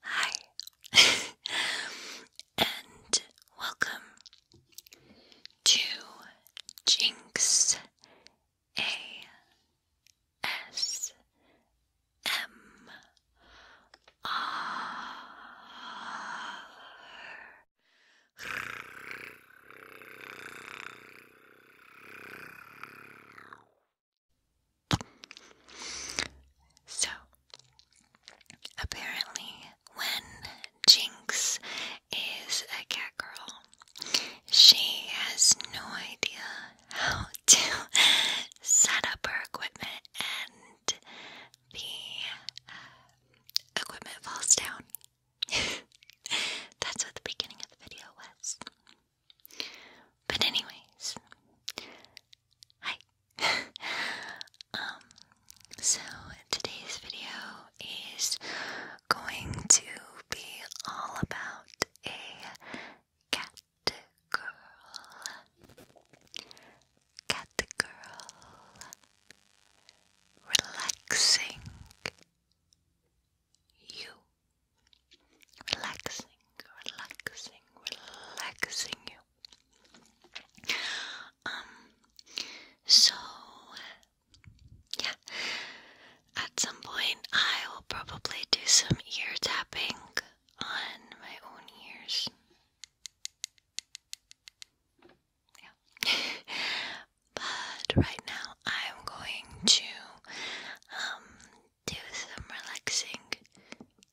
Hi, and welcome to Jinx A S M so, apparently, when Jinx is a cat girl, she has no idea how to set up her equipment and the uh, equipment falls down. That's what the beginning of the video was. But anyways, hi. um, so today's video is going to be all about a cat girl. Cat Girl relaxing you relaxing, relaxing, relaxing you. Um so yeah. At some point I will probably do some ear tapping on my own ears. but right now I'm going to um, do some relaxing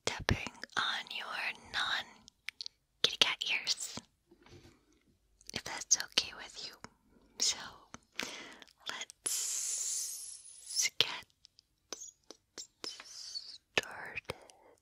tapping on your non kitty cat ears. If that's okay with you. So let's get started.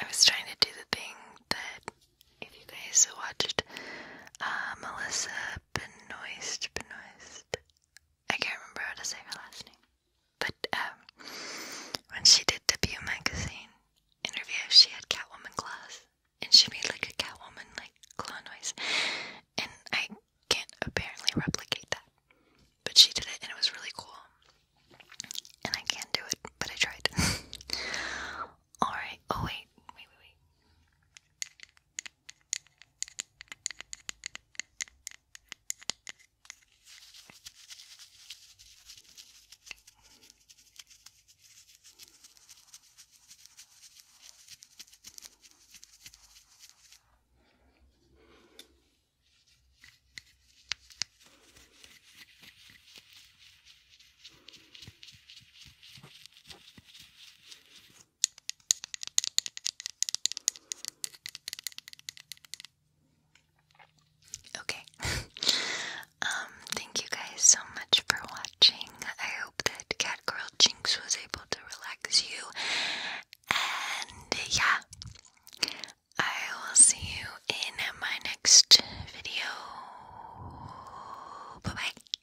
I was trying to do the thing that if you guys watched uh, Melissa Benoist, Benoist, I can't remember how to say her last name, but um, when she did the Pew magazine interview, she had Catwoman claws, and she made like a Catwoman like claw noise, and I can't apparently replicate that, but she did it and it was really cool. And I can't do it, but I tried. Alright, oh wait, wait, wait, wait. Okay. um, thank you guys so much for watching. I hope that Catgirl Jinx was able to relax you. And yeah, I will see you in my next video. Bye bye.